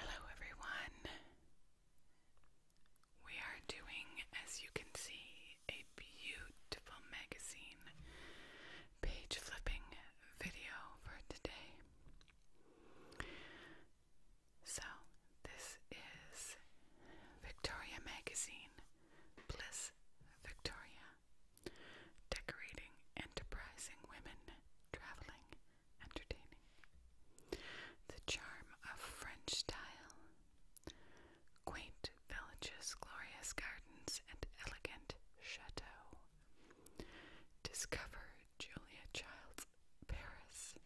Hello everyone. We are doing, as you can see, a beautiful magazine page flipping video for today. So, this is Victoria Magazine, Bliss Victoria. Decorating, enterprising women, traveling, entertaining. The charm of French style, quaint villages, glorious gardens, and elegant chateaux. Discover Julia Child's Paris.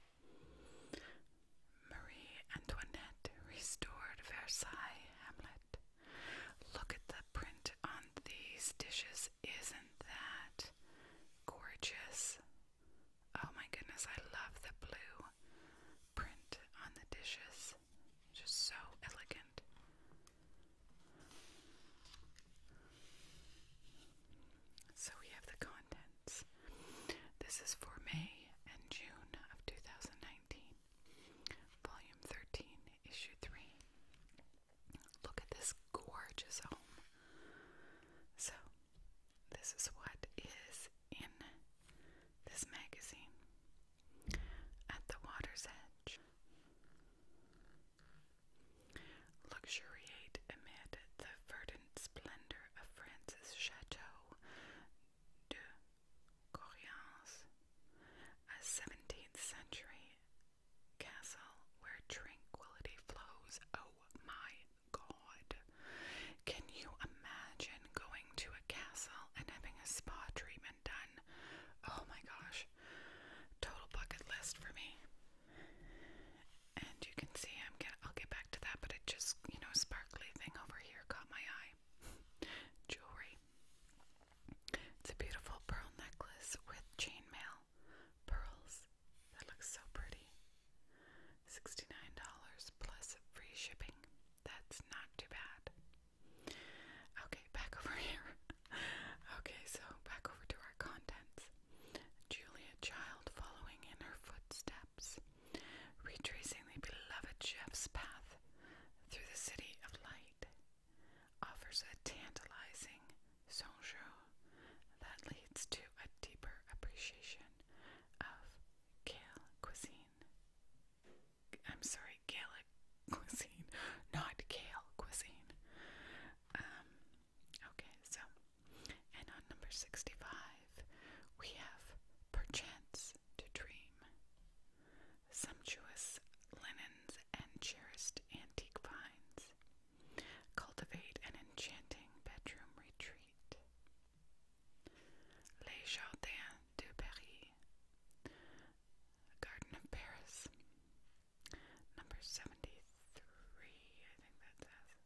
Marie Antoinette restored Versailles Hamlet. Look at the print on these dishes. Isn't that gorgeous? Oh my goodness, I love the blue print on the dishes. Just so elegant. So we have the contents. This is for May and June of 2019, Volume 13, Issue 3. Look at this gorgeous home. So, this is what is in this magazine at the water's edge. Luxuriate amid the verdant splendor of France's Chateau de Corrientes, a 17th century Castle where tranquility flows. Oh my god. Can you imagine going to a castle and having a spa treatment done? Oh my gosh. Total bucket list for me. And you can see I'm get I'll get back to that, but it just, you know, sparkly thing over here caught my eye. Jewelry. It's a beautiful pearl necklace with chainmail Pearls. That looks so pretty. $69 plus free shipping. That's not too bad. Okay, back over here. okay, so back over to our contents. Julia Child following in her footsteps, retracing the beloved chef's path through the city of light, offers a tantalizing Sonjo that leads to a deeper appreciation of Gaelic cuisine. I'm sorry, Gaelic cuisine, not Gael cuisine. Um, okay, so, and on number 65, we have Perchance to Dream. Sumptuous linens and cherished antique vines. Cultivate an enchanting bedroom retreat. Les Jardins de Paris. Garden of Paris. Number 73, I think that says.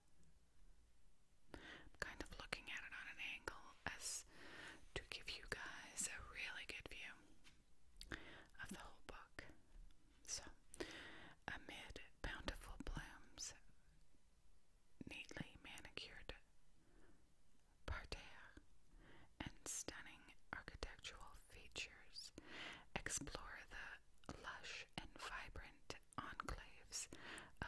I'm kind of looking at it on an angle as to give you guys a really good view of the whole book. So, amid bountiful blooms, neatly manicured parterre, and stunning architectural features, explore the lush and vibrant enclaves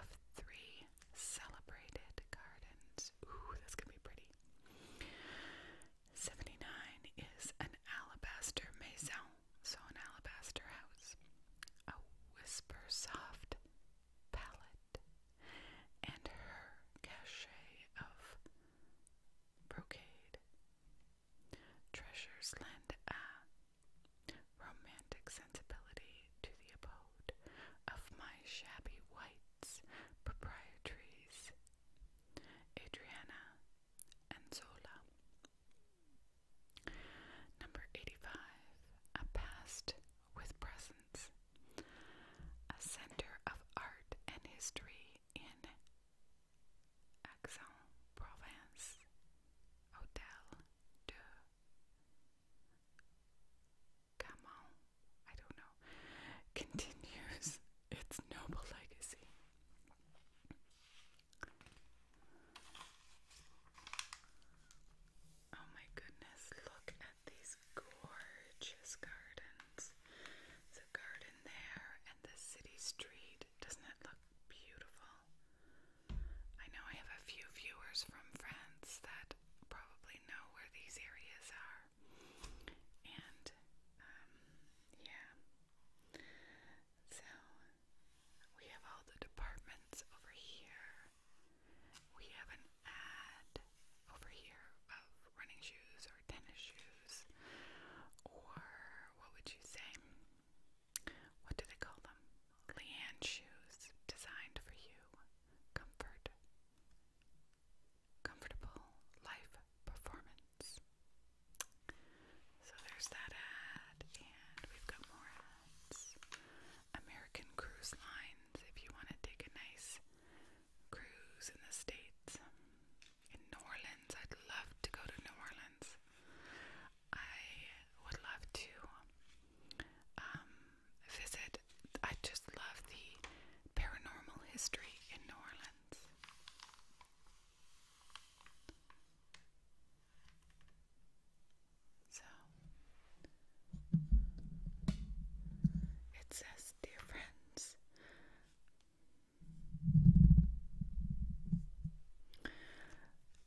of three celebrated gardens. Ooh, that's gonna be pretty. 79 is an alabaster maison so an alabaster house, a whisper soft palette, and her cachet of brocade. Treasures lend a romantic sensibility to the abode of my shabby whites proprietaries, Adriana and Zola. Number 85. A past with presence. A center of art and history in Aix-en-Provence. Hotel de Camon, I don't know, continues its noble legacy. Oh my goodness, look at these gorgeous gardens. There's garden there and the city street. Doesn't it look beautiful? I know I have a few viewers from France that probably know where these areas are. And um, yeah. So we have all the departments over here. We have an ad over here of running shoes or tennis shoes, or what would you say? What do they call them? Leanne shoes designed for you. Comfort. Comfortable life performance. So there's that ad, and we've got more ads. American Cruise Lines, if you want to take a nice cruise in the States. In New Orleans, I'd love to go to New Orleans. I would love to um, visit. I just love the paranormal history in New Orleans. So it says, Dear friends,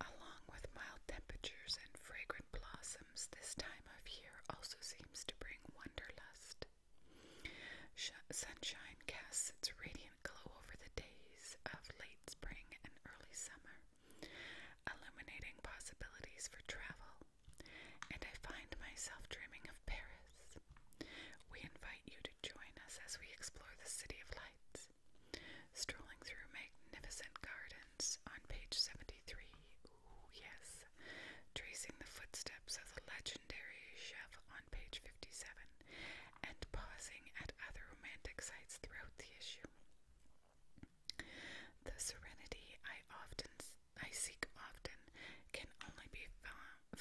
along with mild temperatures and fragrant blossoms, this time of year also seems to bring wanderlust. Sunshine casts its radiant glow over the days of late spring and early summer, illuminating possibilities for travel, and I find myself dreaming of Paris. We invite you to join us as we explore the City of Lights, strolling through magnificent gardens on page 73. yes. Tracing the footsteps of the legendary chef on page 57 and pausing at other romantic sites throughout the issue. The serenity I often I seek often can only be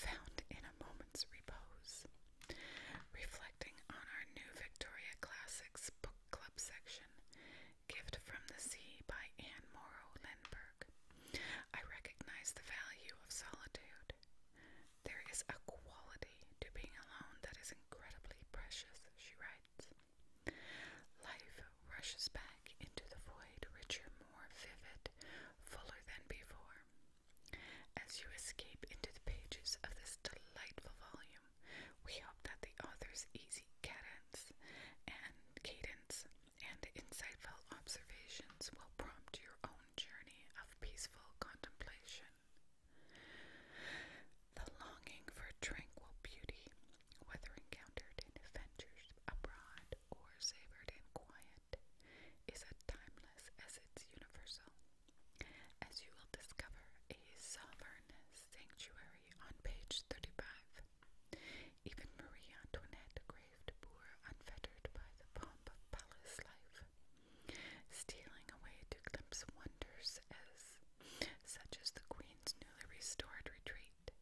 found in a moment's repose. Reflecting on our new Victoria Classics book club section, Gift from the Sea by Anne Morrow Lindberg, I recognize the value of solitude. There is a quality to being alone that is incredibly precious, she writes. Life rushes back into the void, richer, more vivid, fuller than before. As you escape into the pages of this delightful volume, we hope that the author's easy cadence and cadence and insightful observations will prompt your own journey of peaceful contemplation. The longing for tranquil beauty, whether encountered in adventures abroad or savored in quiet, is as timeless as it's universal. As you will discover, a sovereign sanctuary on page 35. Even Marie Antoinette craved poor, unfettered by the pomp of palace life, stealing away to glimpse wonders such as the Queen's newly restored retreat.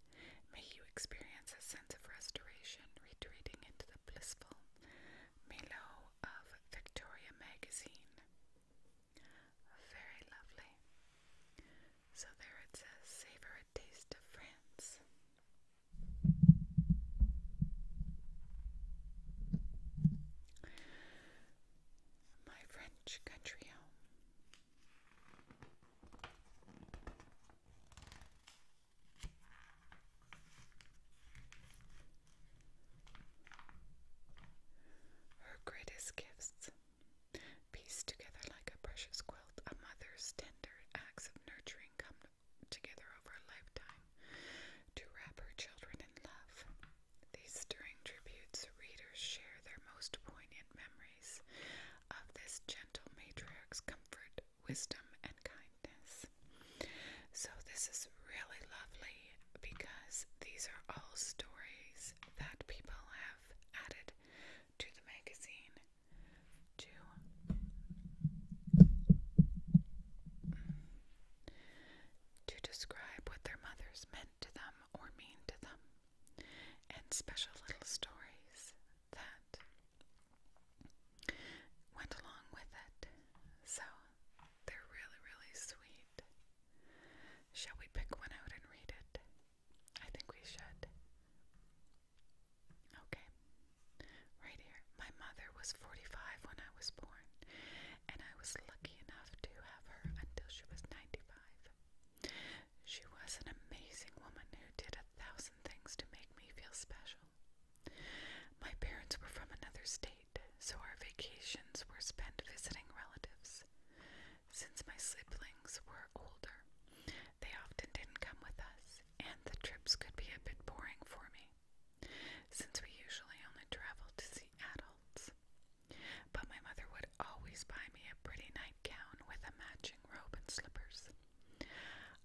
May you experience a sense of restoration retreating into the blissful Milo of Victoria magazine. Very lovely. So there it says, savor a taste of France my French country home. Her greatest gifts, pieced together like a precious quilt, a mother's tender acts of nurturing come together over a lifetime to wrap her children in love. These stirring tributes, readers share their most poignant memories of this gentle matriarch's comfort, wisdom, and kindness. So, this is really lovely because these are all stories that people have added to the magazine to mm, to describe what their mothers meant to them or mean to them, and special little stories that went along with it. So they're really, really sweet. Shall we pick one out and read it? I think we should. Okay. Right here. My mother was 45 when I was born, and I was lucky enough to have her until she was 95. She was an amazing woman who did a thousand things to make me feel special. My parents were from another state, so our vacations were spent visiting relatives. Since my siblings were older, they often didn't come with us, and the trips could be a bit boring for me since we usually only traveled to see adults. But my mother would always buy me a pretty nightgown with a matching robe and slippers.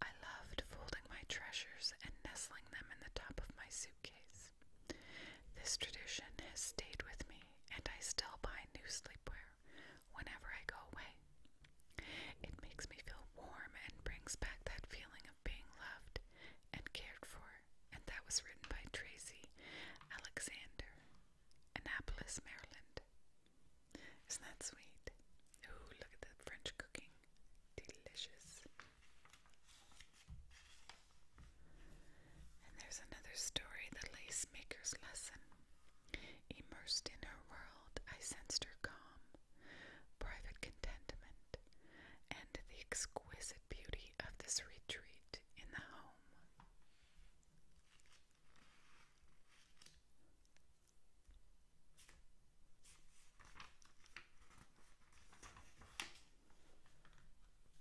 I loved folding my treasures and nestling them in the top of my suitcase. This tradition has stayed with me, and I still buy new sleepwear whenever I go away. It makes me feel warm and brings back that feeling of being loved and cared for and that was written by Tracy Alexander, Annapolis, Maryland. Isn't that sweet? Ooh, look at the French cooking. Delicious. And there's another story, The Lace Maker's Lesson. Immersed in her world, I sensed her calm, private contentment, and the exquisite beauty of this retreat in the home.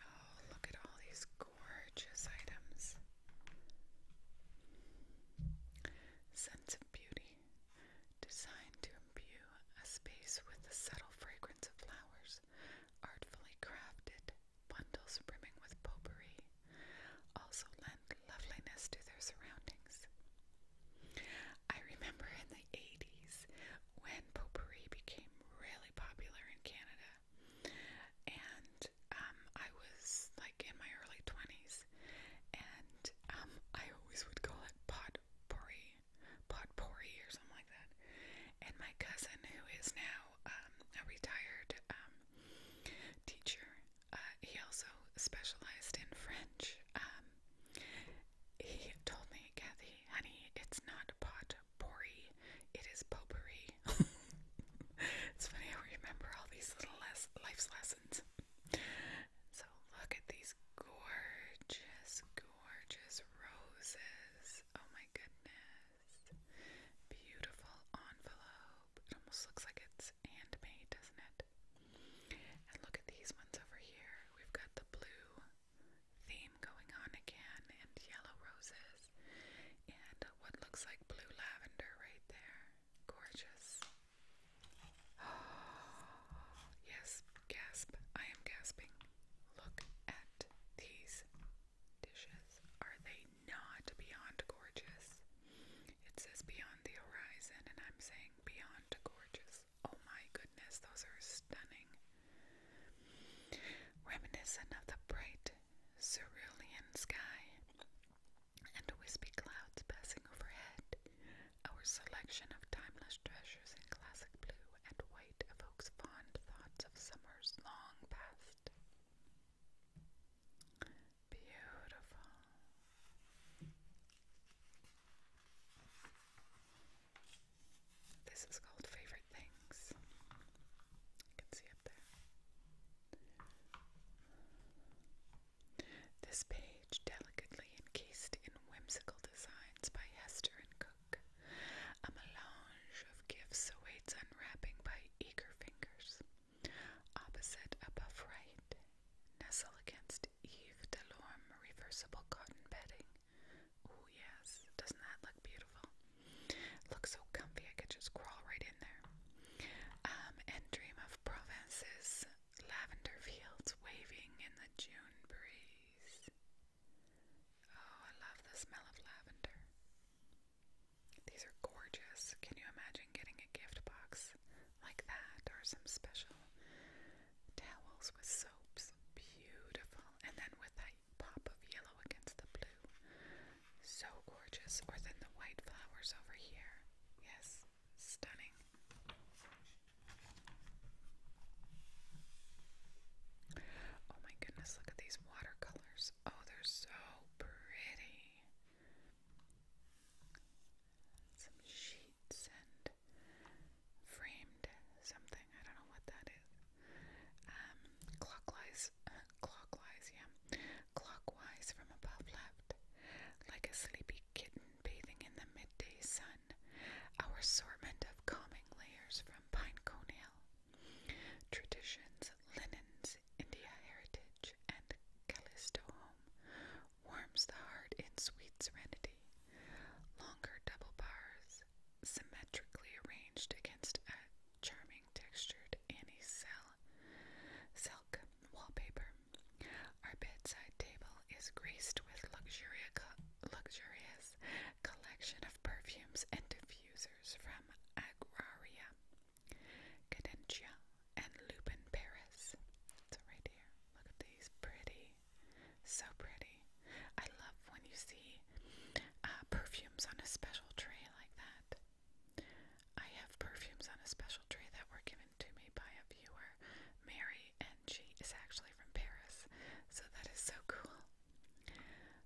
Oh, look at all these gorgeous items. Sense of beauty, designed to imbue a space with the subtle fragrance of flowers artfully crafted, bundles brimming with potpourri, also lend loveliness to their surroundings. I remember in the 80s when potpourri became really popular in Canada, and um, I was like in my early 20s, and um, I always would call it potpourri potpourri or something like that. And my cousin, who is now um, a retired um, teacher, uh, he also specialized in French. Um, he told me, Kathy, honey, it's not potpourri, it is potpourri. it's funny I remember all these little les life's lessons. so look at these gorgeous gorgeous roses. Oh my goodness. Beautiful envelope. It almost looks like it's handmade, doesn't it? And look at these ones over here. We've got the blue theme going on again and yellow roses. And what looks like blue lavender right there. Gorgeous. yes, gasp. I am gasping. Look at these dishes. Are they not beyond gorgeous? It says beyond the horizon, and I'm saying beyond gorgeous. Oh my goodness, those are stunning. Reminiscent of the bright cerulean sky and wispy clouds passing overhead, our selection of timeless treasures in classic blue and white evokes fond thoughts of summers long past. Beautiful. This is called Favorite Things. You can see up there. This page, delicately encased in whimsical designs by Hester and Co., a melange of gifts awaits unwrapping by eager fingers. Opposite, above right, nestle against Yves Delorme reversible cotton bedding. Oh yes, doesn't that look beautiful? Looks so comfy I could just crawl right in there. Um, and dream of Provence's lavender fields waving in the June breeze. Oh, I love the smell of lavender. These are gorgeous. Can you imagine getting a gift box like that or some special towels with soaps? Beautiful. And then with that pop of yellow against the blue. So gorgeous. Or then the white flowers over here. Yes, stunning. Oh my goodness, look at these watercolors. Oh, they're so pretty. Some sheets and framed something. I don't know what that is. Um, clockwise, clockwise, yeah. Clockwise from above left. Like a sleepy kitten bathing in the midday sun our assortment of calming layers from pine cone hill, traditions, linens, India heritage, and Callisto home, warms the heart in sweet serenity. Longer double bars, symmetrically arranged against a charming textured anise cell, silk wallpaper. Our bedside table is graced with luxurious collection of perfumes and diffusers from Agraria, Cadencia, and Lupin Paris. So right here, look at these, pretty, so pretty. I love when you see uh, perfumes on a special tray like that. I have perfumes on a special tray that were given to me by a viewer, Mary, and she is actually from Paris. So that is so cool.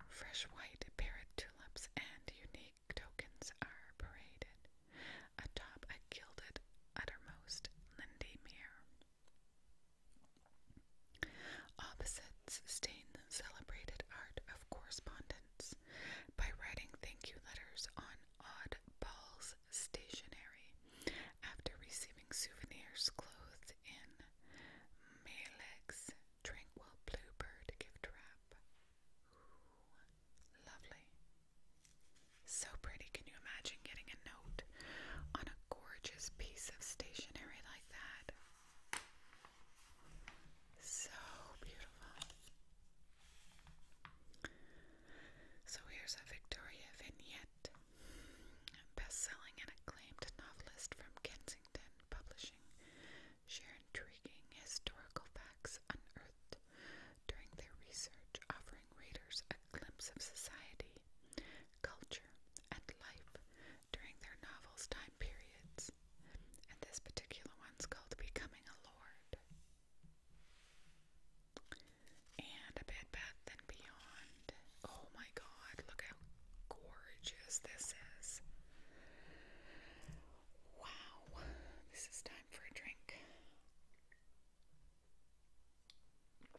Fresh white parrot tulips and unique tokens are paraded atop a gilded uttermost Lindy mirror. Opposites stain the celebrated art of correspondence by writing thank you letters on odd balls stationery after receiving souvenirs, clothes, is in Melek's Tranquil Bluebird gift wrap. lovely. So pretty. Can you imagine getting a note on a gorgeous piece of stationery like that? So beautiful. So here's a Victoria vignette best-selling and acclaimed novelist from Kensington Publishing, share intriguing historical facts unearthed during their research, offering readers a glimpse of society, culture, and life during their novel's time periods. And this particular one's called Becoming a Lord. And A Bad Bath and Beyond oh my god, look how gorgeous this is. Wow, this is time for a drink.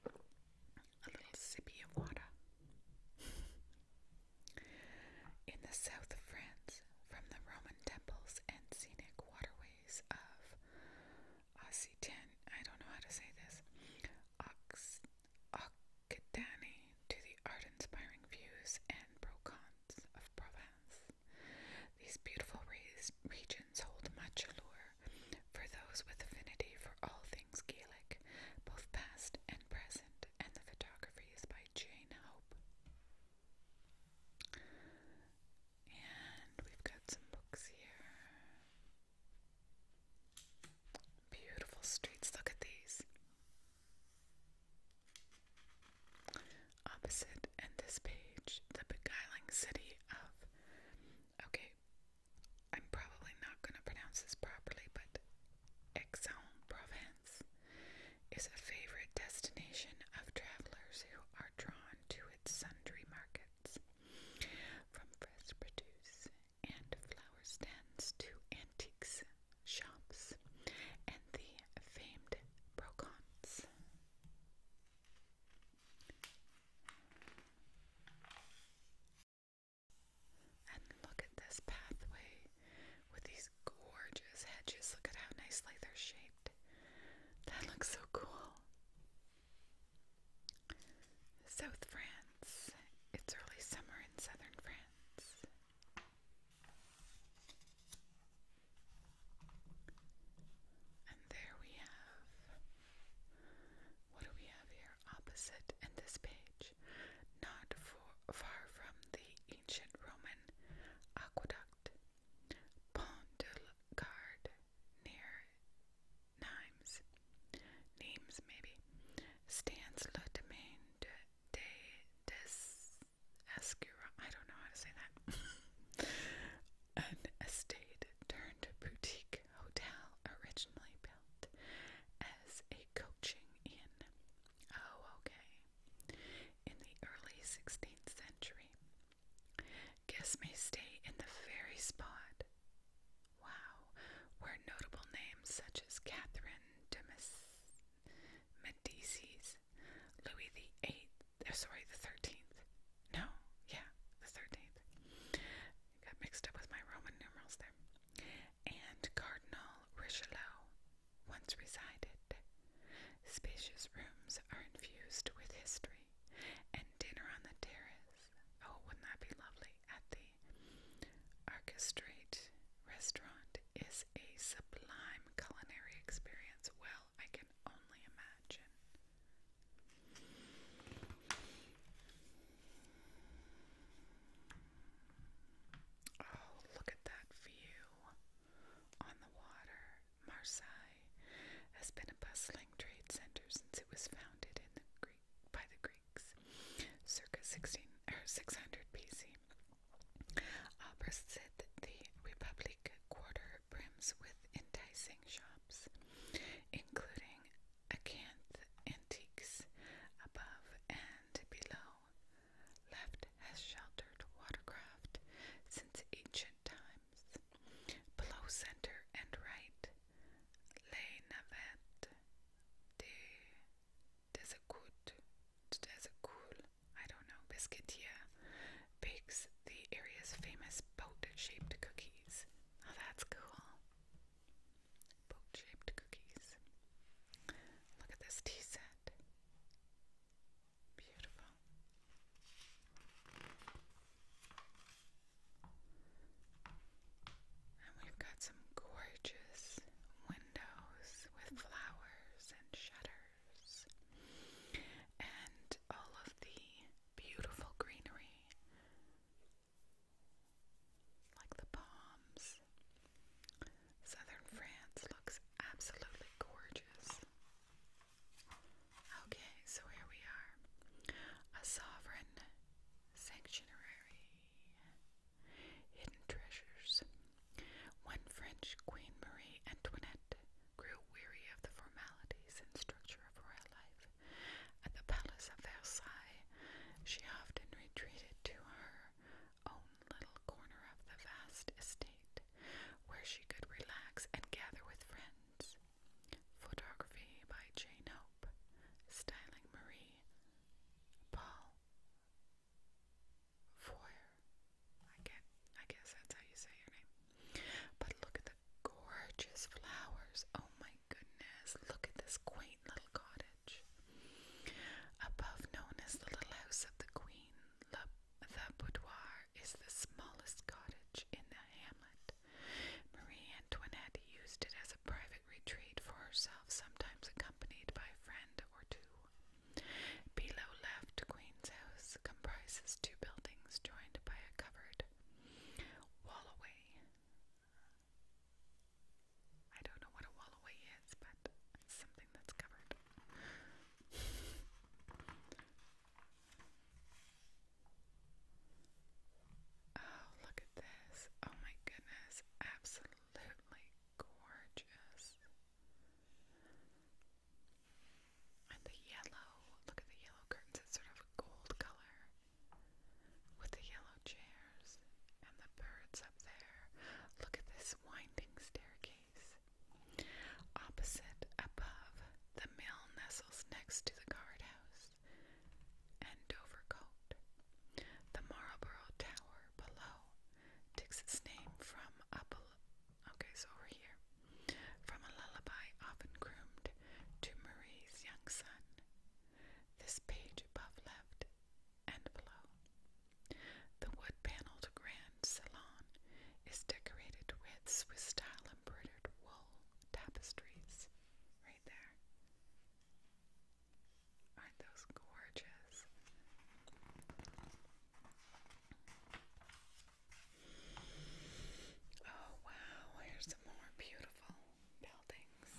A little sippy of water. In the south of France, from the Roman temples and scenic waterways of Occitan, I don't know how to say this, Ox, Occitanie to the art-inspiring views and brocons of Provence. These beautiful regions hold much allure for those with affinity for all things Gaelic, both past and present, and the photography is by Jane Hope. And we've got some books here. Beautiful streets, look at these. Opposite in this page, the beguiling city of. Okay, I'm probably not going to pronounce this properly, but aix en is a favorite destination of travelers who are drawn to its sundry markets. From fresh produce and flower stands to antiques shops and the famed brocons. And look at this pathway with these gorgeous hedges. Look at how nicely they're shaped. That looks so cool. South France. It's early summer in southern France. And there we have. What do we have here? Opposite in this page. Not far from the ancient Roman aqueduct, Pont de la near Nimes, names maybe, stands le domaine de, des escurons, I don't know how to say that, an estate turned boutique hotel originally built as a coaching inn. Oh, okay. In the early 16th century, guests may stay in the very spot Wow, where notable names such as Catherine de Medici, Louis the Eighth, eh, sorry, the Thirteenth. No, yeah, the Thirteenth. Got mixed up with my Roman numerals there. And Cardinal Richelieu once resided. Spacious rooms are infused with history, and dinner on the terrace. Oh, wouldn't that be lovely at the Italy. Restaurant is a sublime culinary experience. Well, I can only imagine. Oh, look at that view on the water. Marseille has been a bustling trade center since it was founded by the Greek circa 16 or 600 BC. Albrecht uh, said the Republic quarter brims with enticing shops, including acanth antiques above and below, left has sheltered watercraft since ancient times. Below center and right lay navette de there's a I don't know, biscuitier bakes the area's famous boat-shaped cookies. Oh, that's cool. Boat-shaped cookies. Look at this tea set. Beautiful. And we've got some gorgeous windows with flowers and shutters. And all of the beautiful greenery, like the palms. Southern France looks absolutely gorgeous. Okay, so here we are. A sovereign sanctuary. Hidden treasures. When French Queen Marie Antoinette grew weary of the formalities and structure of royal life at the Palace of Versailles, she often retreated to her own little corner of the vast estate where she could relax and gather with friends. Photography by Jane Hope, styling Marie Paul Foyer. I can I guess that's how you say your name. But look at the gorgeous flowers. Oh my goodness. Look at this quaint little cottage. Above known as the Little House of the Queen, the boudoir is the smallest cottage in the hamlet. Marie Antoinette used it as a private private retreat for herself, sometimes accompanied by a friend or two. Below left, Queen's House comprises two buildings joined by a covered wallaway. I don't know what a wallaway is, but it's something that's covered. Oh, look at this. Oh my goodness. Absolutely gorgeous. And the yellow, look at the yellow curtains, it's sort of a gold color with the yellow chairs and the birds up there. Look at this winding staircase. Opposite, above, the mill nestles next to the guardhouse and Dovercote. The Marlborough Tower below takes its name from a lullaby often groomed to Marie's young son. This page above left and below. The wood-paneled grand salon is decorated with Swiss-style embroidered wool tapestries. Right there are those gorgeous? Oh, wow, here's some more beautiful buildings.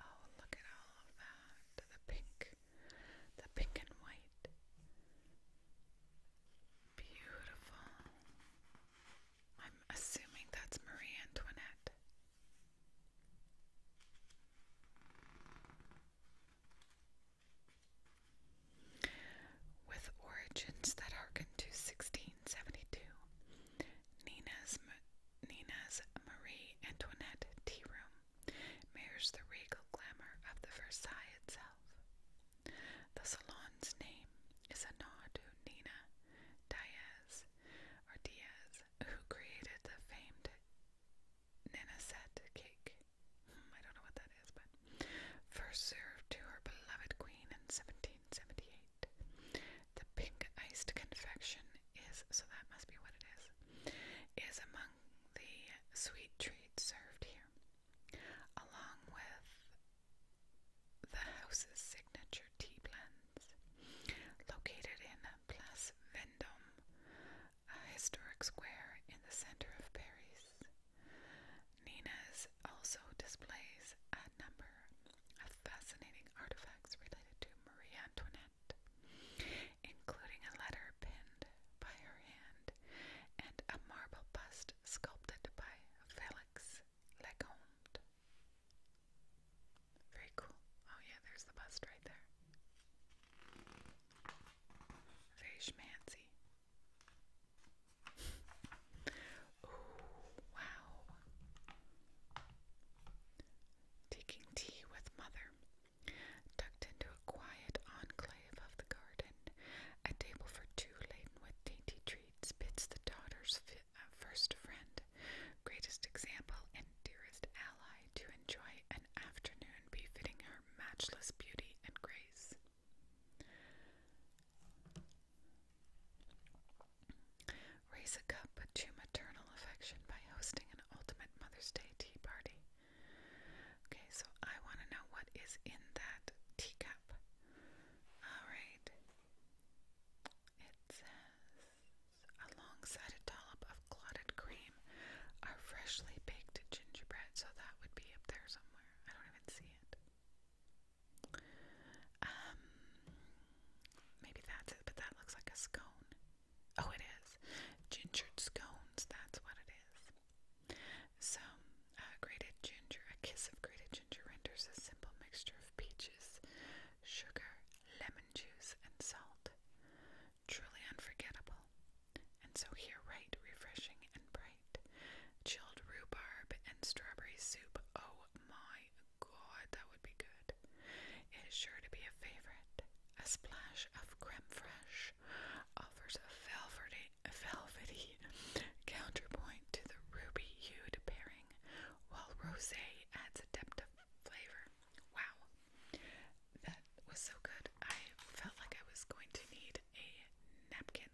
Oh, look at all of that. The pink, the pink and white. Beautiful. I'm assuming that's Marie Antoinette. With origins that harken to 1672, Nina's, Nina's Marie Antoinette Tea Room mirrors the regal glamour of the Versailles itself. The salon's name is a nod to Nina Diaz, or Diaz, who created the famed Ninasette cake. Hmm, I don't know what that is, but first served to her beloved queen in 1778. The pink iced confection is, so that must be what it is, is among the sweet treats served here, along with the house's signature tea blends. Located in Place Vendôme, a historic square in the center of Paris, Nina's also displays a number of fascinating artifacts related to Marie Antoinette, including a letter penned by her hand and a marble bust sculpted by Felix Lecomte. Very cool. Oh yeah, there's the bust right there. Very schmancy. oh, wow. Taking tea with mother. Tucked into a quiet enclave of the garden, a table for two laden with dainty treats the daughter's uh, first friend, greatest example, and dearest ally to enjoy an afternoon befitting her matchless beauty and grace. Raise a cup to maternal affection by hosting an ultimate Mother's Day tea party. Okay, so I want to know what is in that teacup. Alright. It says, alongside a dollop of clotted cream are freshly baked gingerbread, so that would be up there somewhere. I don't even see it. Um, maybe that's it, but that looks like a scone. Oh, it is. Gingered scones, that's what it is. So, uh, grated ginger, a kiss of grated ginger renders a simple mixture peaches, sugar, lemon juice, and salt. Truly unforgettable, and so here right refreshing and bright. Chilled rhubarb and strawberry soup. Oh my god, that would be good. It is sure to be a favorite. A splash of creme fraiche offers a velvety, a counterpoint to the ruby hued pairing while rosé adds a depth of flavor. Wow, that was so good. I felt like I was going to need a napkin.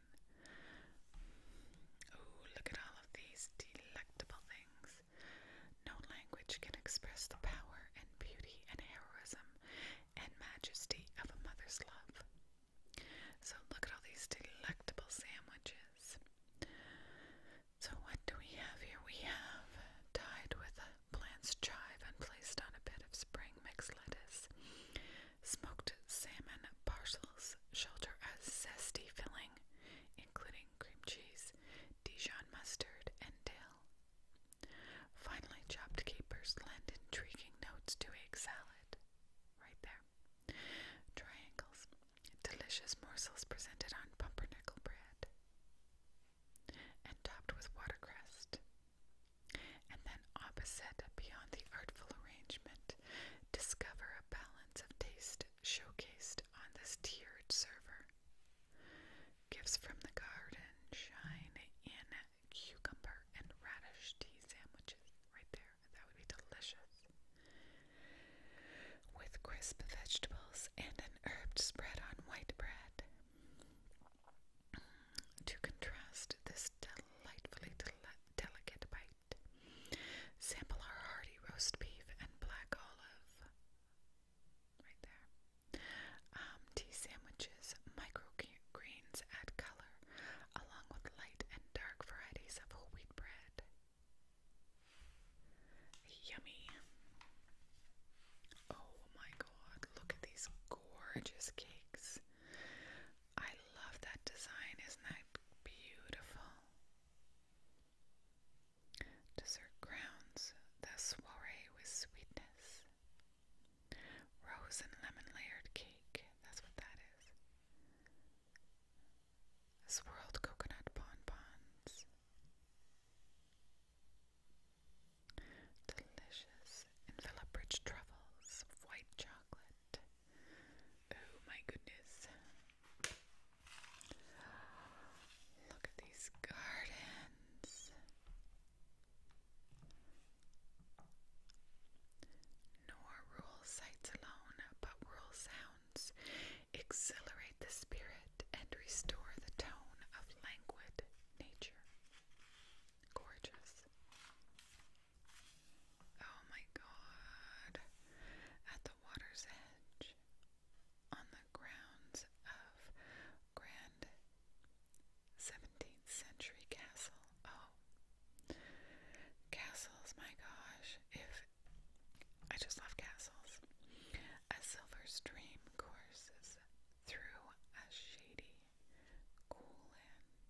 Oh, look at all of these delectable things. No language can express the power and beauty and heroism and majesty of a mother's love. So, look at all these delectable sandwiches. So, what do we have here? We have tied with blanched chive and placed on a bed of spring mixed lettuce. Smoked salmon parcels shelter a zesty filling, including cream cheese, Dijon mustard, and dill. Finally, chopped capers lend intriguing notes to egg salad. Right there. Triangles delicious morsels presented on pumpernickel bread and topped with watercress. And then, opposite, beyond the artful arrangement, discover a balance of taste showcased on this tiered server. Gifts from the garden shine in cucumber and radish tea sandwiches right there. That would be delicious. With crisp vegetables and an herb spread on white bread. To contrast this delightfully delicate bite, sample our hearty roast beef and black olive. Right there. Um, tea sandwiches, microgreens add color, along with light and dark varieties of whole wheat bread. Yummy. Oh my god, look at these gorgeous cakes. I love that design, isn't that beautiful? Dessert crowns the soiree with sweetness. Rose and lemon layered cake, that's what that is swirled coconut bonbons, delicious envelope-rich truffles, white chocolate. Oh my goodness! Look at these gardens. Nor rural sights alone, but rural sounds exhilarate the spirit and restore the tone of languid nature. Gorgeous. Oh my god. At the water's edge, on the grounds of Grand 17th century castle. Oh. Castles, my gosh, I just love castles. A silver stream courses through a shady, cool land.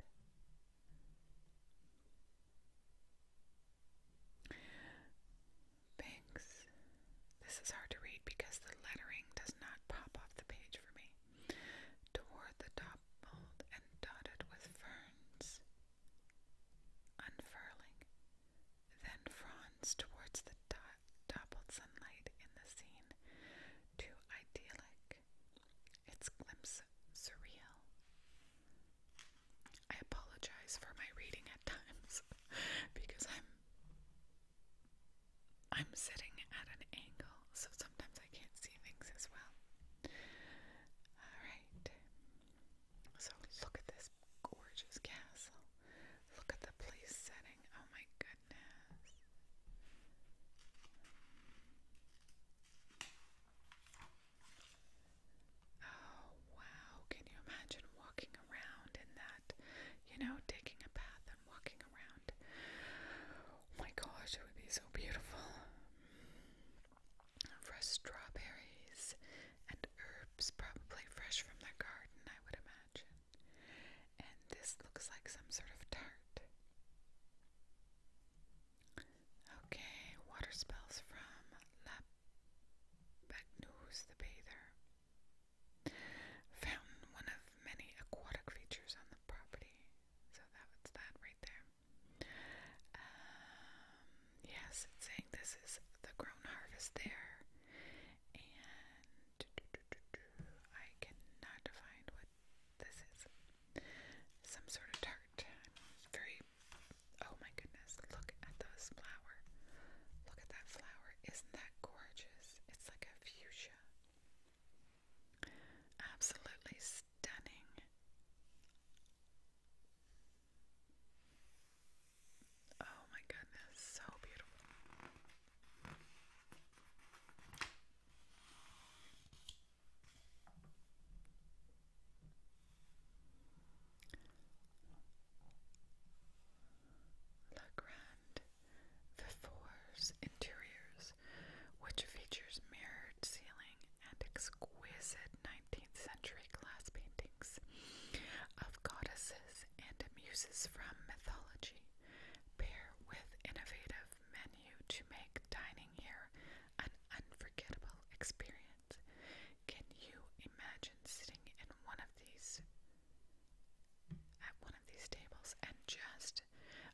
Banks. This is hard to read because the lettering does not pop off the page for me. Toward the top mold and dotted with ferns unfurling, then fronds towards the dappled sunlight in the scene, too idyllic, its glimpse surreal. I apologize for my reading at times because I'm I'm sitting at an angle, so sometimes I can't see things as well. All right. So look at this gorgeous castle. Look at the place setting. Oh my goodness. Oh wow. Can you imagine walking around in that? You know, taking a bath and walking around. Oh my gosh, it would be so beautiful fresh strawberries and herbs, probably fresh from their garden, I would imagine. And this looks like some sort of tart. Okay, water spells from La Bagneuse the Bather. Found one of many aquatic features on the property. So that was that right there. Um, yes, it's saying this is the grown harvest there. And I cannot define what this is. Some sort of tart. I'm very. Oh my goodness, look at this flower. Look at that flower. Isn't that gorgeous? It's like a fuchsia. Absolutely stunning. Oh my goodness, so beautiful. La Grande Vifour's interiors, which features mirrored ceiling and exquisite 19th century glass paintings of goddesses and muses from mythology, pair with innovative menu to make dining here an unforgettable experience. Can you imagine sitting at one of these tables and just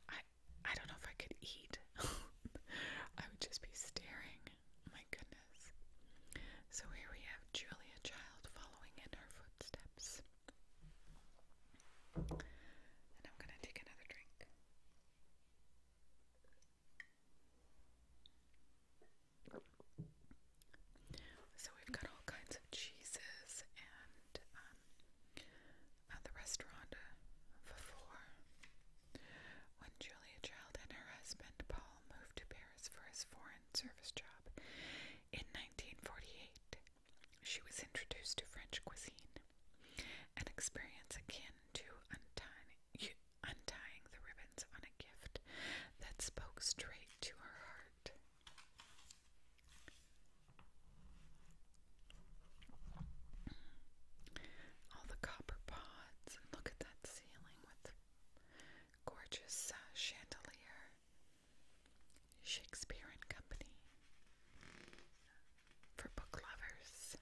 I I don't know if I could eat. I would just be staring Oh my goodness. So here we have Julia Child following in her footsteps. And I'm going to take another drink. So we've got all kinds of cheeses and um, at the restaurant uh, for When Julia Child and her husband Paul moved to Paris, for his foreign service job. In 1948, she was introduced to French cuisine, an experience akin to untying, the ribbons on a gift that spoke straight to her heart. All the copper pods, look at that ceiling with gorgeous uh, chandelier, Shakespeare and Company for book lovers.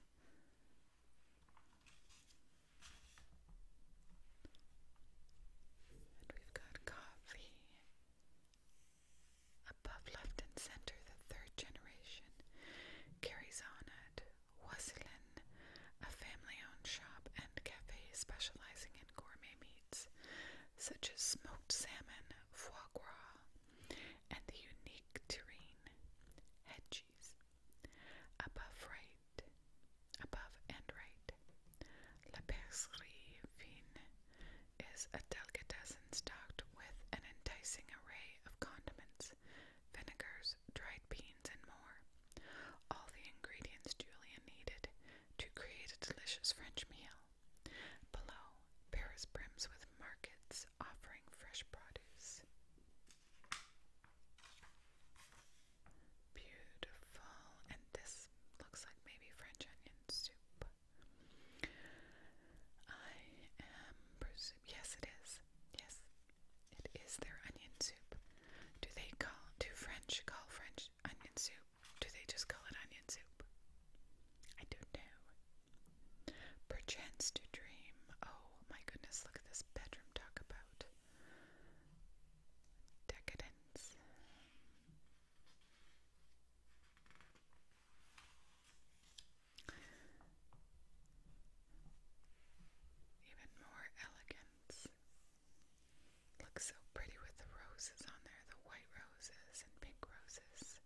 And we've got coffee. Above left and center, the third generation carries on at Wasilin, a family-owned shop and cafe specializing in gourmet meats such as smoked salmon, foie gras, and the unique terrine hedges. Above right, above and right, La Bercerie Fine is a delicatessen stocked with an enticing array of condiments, vinegars, dried beans, and more. All the ingredients Julian needed to create a delicious French meal. Below, Paris brims with markets offering fresh produce. Beautiful. And this looks like maybe French onion soup. I am Yes, it is. Yes, it is their onion soup. Do they call do French call French onion soup? Do they just call it onion soup? I don't know. Perchance to dream. Oh my goodness, look at this bedroom talk about decadence. Even more elegance. Looks so pretty with the roses on there, the white roses and pink roses.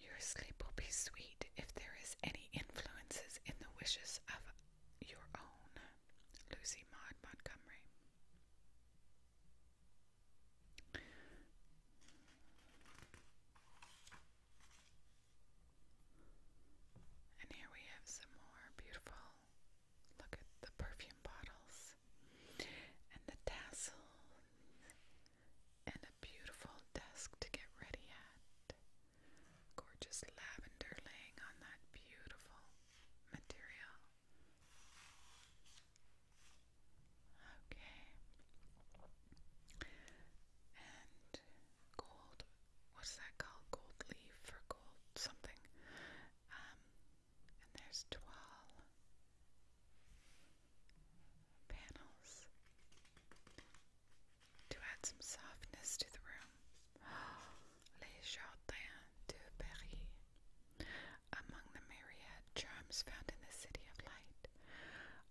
Your sleep will be sweet if there is any influences in the wishes of your own. Lucy Maud Montgomery. And here we have some more beautiful Look at the perfume bottles and the tassels and a beautiful desk to get ready at. Gorgeous lavender laying on that beautiful material. Okay. And gold what's that called? Gold leaf or gold something. Um, and there's 12 panels to add some softness to the room. Les Jardins de Paris. Among the myriad charms found in the City of Light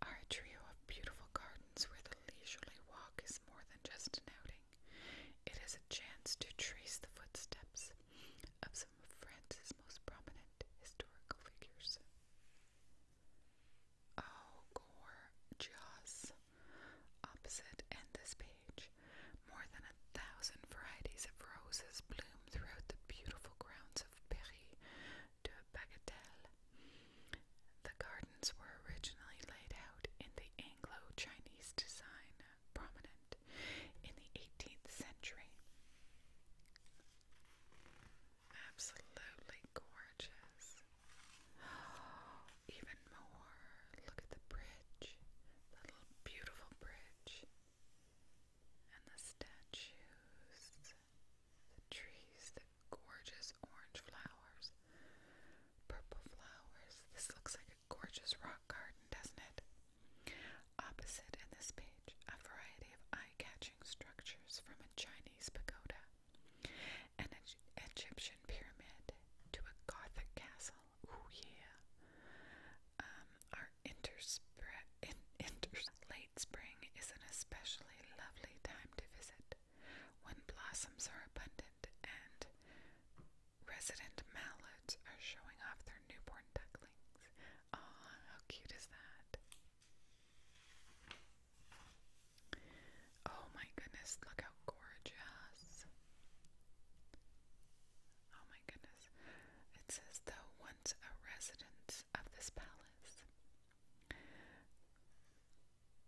are a trio of beautiful gardens where the leisurely walk is more than just an doing. It is a chance to trace the footsteps of some of France's most prominent historical figures. Oh, gorgeous! Opposite and this page, more than a thousand varieties of roses bloom throughout the beautiful grounds of Paris de Bagatelle. The gardens were originally laid out in Anglo-Chinese design prominent in the 18th century. Absolutely gorgeous. Oh, even more. Look at the bridge. little beautiful bridge. And the statues. The trees. The gorgeous orange flowers. Purple flowers. This looks like a Gorgeous rock garden, doesn't it? Opposite in this page, a variety of eye catching structures from a Chinese pagoda, an Egyptian pyramid, to a Gothic castle. Ooh, yeah. Um, our interspre- in inters late spring is an especially lovely time to visit when blossoms are abundant and Resident mallards are showing off their newborn ducklings. Aw, how cute is that? Oh my goodness, look how gorgeous. Oh my goodness. It says, though once a residence of this palace.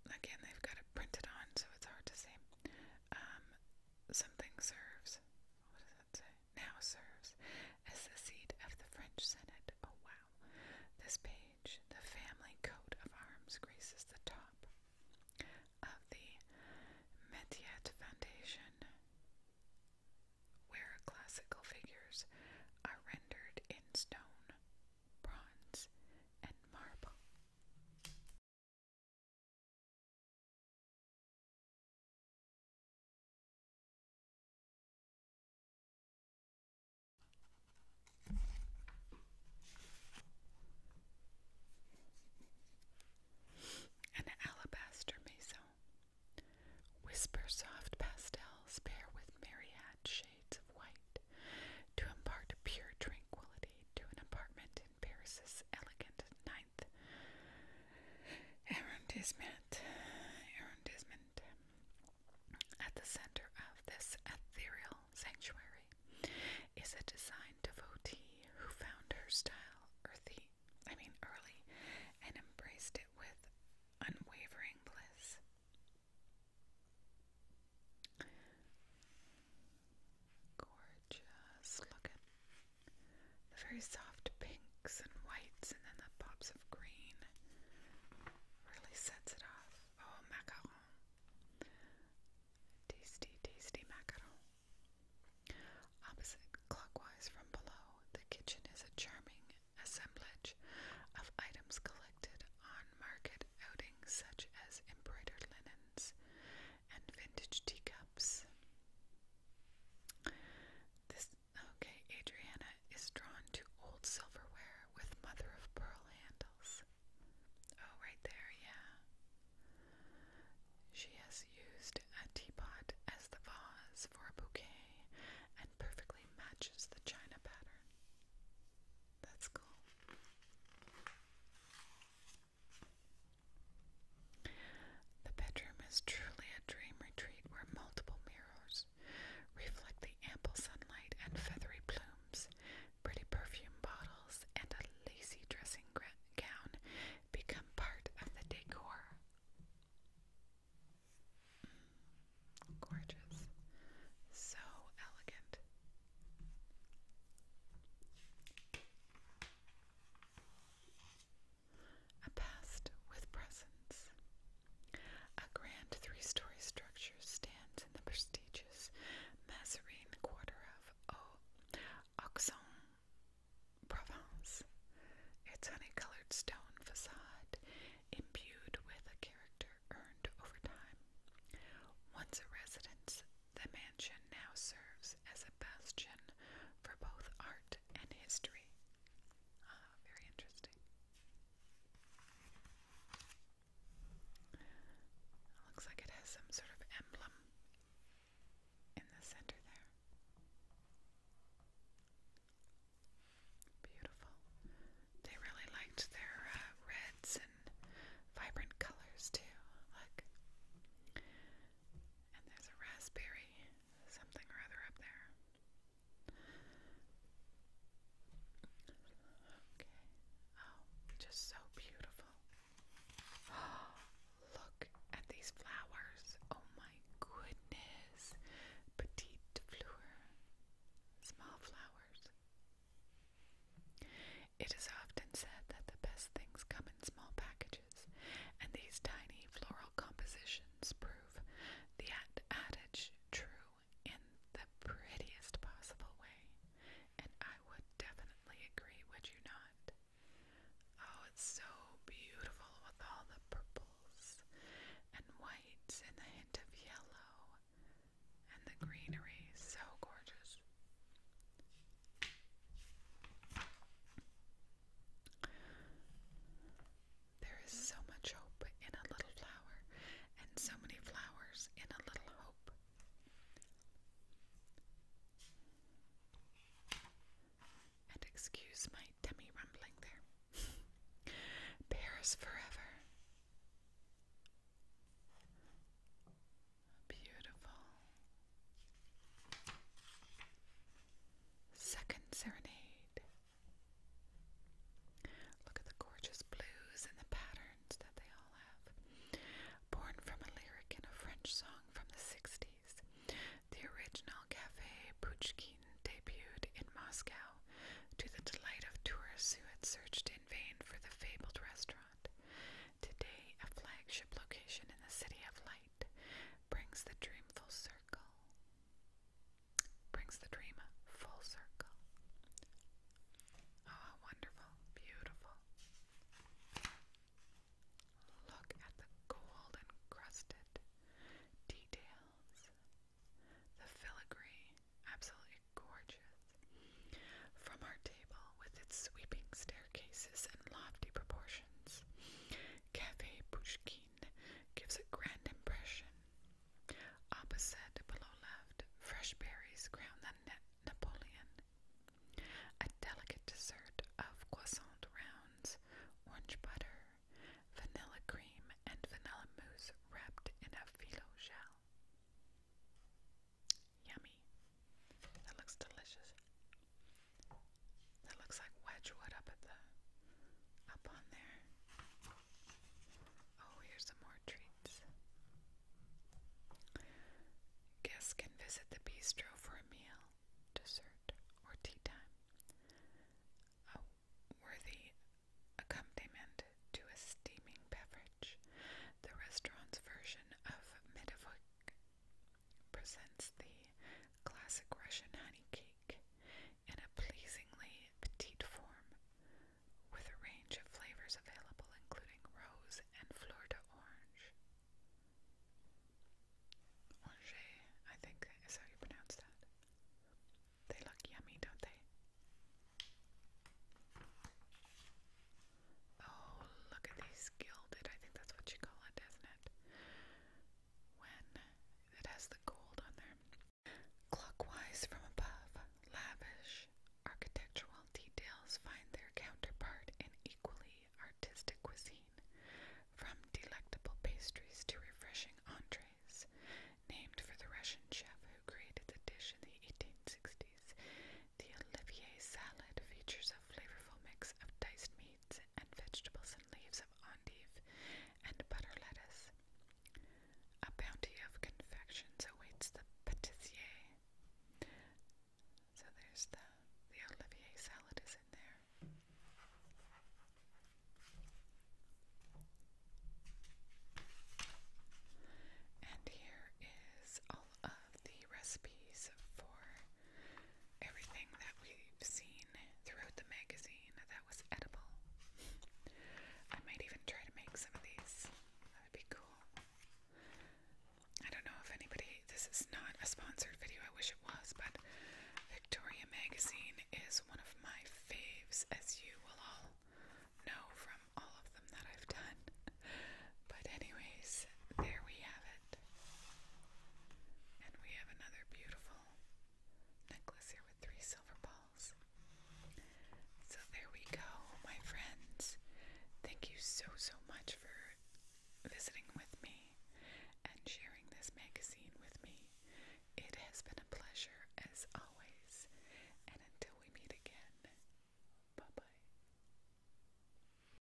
Again, they've got it printed on, so it's hard to see. Um, something serves. What does that say? Now serves as the seat of the French Senate. Oh wow! This page, the family coat of arms, graces the top of the Metiet Foundation, where classical figures are rendered in stone, bronze, and marble. An alabaster maison. Whisper soft pastels pair with myriad shades of white to impart pure tranquility to an apartment Paris's elegant ninth arrondissement. arrondissement. At the center of this ethereal sanctuary is a design devotee who found her style earthy, I mean early, and embraced it with unwavering bliss. Gorgeous. Look at the very soft pinks and whites, and then the pops of green. Really sets it off. Oh, macaron. Tasty, tasty macaron. Opposite clockwise from below, the kitchen is a charming assemblage of items collected on market outings, such as embroidered linens and vintage teacups. This okay, Adriana is drawn to old silverware with mother of pearl handles. Oh, right there, yeah. She has used a teapot as the vase for a bouquet and perfectly matches the china pattern. That's cool. The bedroom is truly a dream retreat where multiple mirrors reflect the ample sunlight and feathery plumes, pretty perfume bottles, and a lacy dressing gown become part of the decor. Mm, gorgeous. So elegant. A past with presence. A grand three story structure stands in the prestigious Mazarin quarter of Auxonne, Provence. Its honey colored stone facade, imbued with a character earned over time. Once a residence, the mansion now serves as a bastion for both art and history. Ah, very interesting. Looks like it has some sort of emblem in the center there. Beautiful. They really liked their uh, reds and vibrant colors too. Look. And there's a raspberry something or other up there. Okay. Oh, just so beautiful. look at these flowers. Oh my goodness. Petite fleur. Small flowers. It is often said that the best things come in small packages, and these tiny floral compositions prove the adage true in the prettiest possible way. And I would definitely agree, would you not? Oh, it's so beautiful with all the purples and whites and the hint of yellow and the greenery. So gorgeous. There is so much hope in a little flower, and so many flowers in a little hope. And excuse my tummy rumbling there. Paris forever. Beautiful. Second serenade. Look at the gorgeous blues and the patterns that they all have. Born from a lyric in a French song from the 60s, the original Cafe Pouchkine debuted in Moscow to the delight of tourists who had searched in vain for the fabled restaurant. Today, a flagship location in the City of Light brings the dream full circle. Brings the dream full circle. Oh, how wonderful, beautiful. Look at the gold encrusted details. The filigree, absolutely gorgeous. From our table, with its sweeping staircases and lofty proportions. Cafe Pushkin gives a grand impression. Opposite, below left, fresh berries crown the Napoleon. A delicate dessert of croissant rounds, orange butter, vanilla cream, and vanilla mousse wrapped in a phyllo shell. Yummy. That looks delicious. That looks like Wedgwood up at the up on there. Oh, here's some more treats. Guests can visit the bistro for a meal, dessert, or tea time. A worthy accompaniment to a steaming beverage. The restaurant's version of Midovic presents the classic Russian honey cake in a pleasingly petite form, with a range of flavors available, including rose and fleur de orange. Orange, I think, is how you pronounce that. They look yummy, don't they? Oh, look at these gilded. I think that's what you call it, isn't it? When it has the gold on there. Clockwise from above, lavish architectural details find their counterpart in equally artistic cuisine, from delectable pastries to refreshing entrees. Named for the Russian chef who created the dish in the 1860s, the Olivier salad features a flavorful mix of diced meats and vegetables and leaves of endive and butter lettuce. A bounty of confections awaits the pâtissier. So there's the the Olivier salad is in there. And here is of the recipes for everything that we've seen throughout the magazine that was edible. I might even try to make some of these. That would be cool. I don't know if anybody, this is not a sponsored video, I wish it was, but Victoria Magazine is one of my faves, as you will all know from all of them that I've done. But, anyways, there we have it. And we have another beautiful necklace here with three silver balls. So there we go, my friends. Thank you so, so much for visiting with me and sharing this magazine with me. It has been a pleasure as always. And until we meet again, bye bye.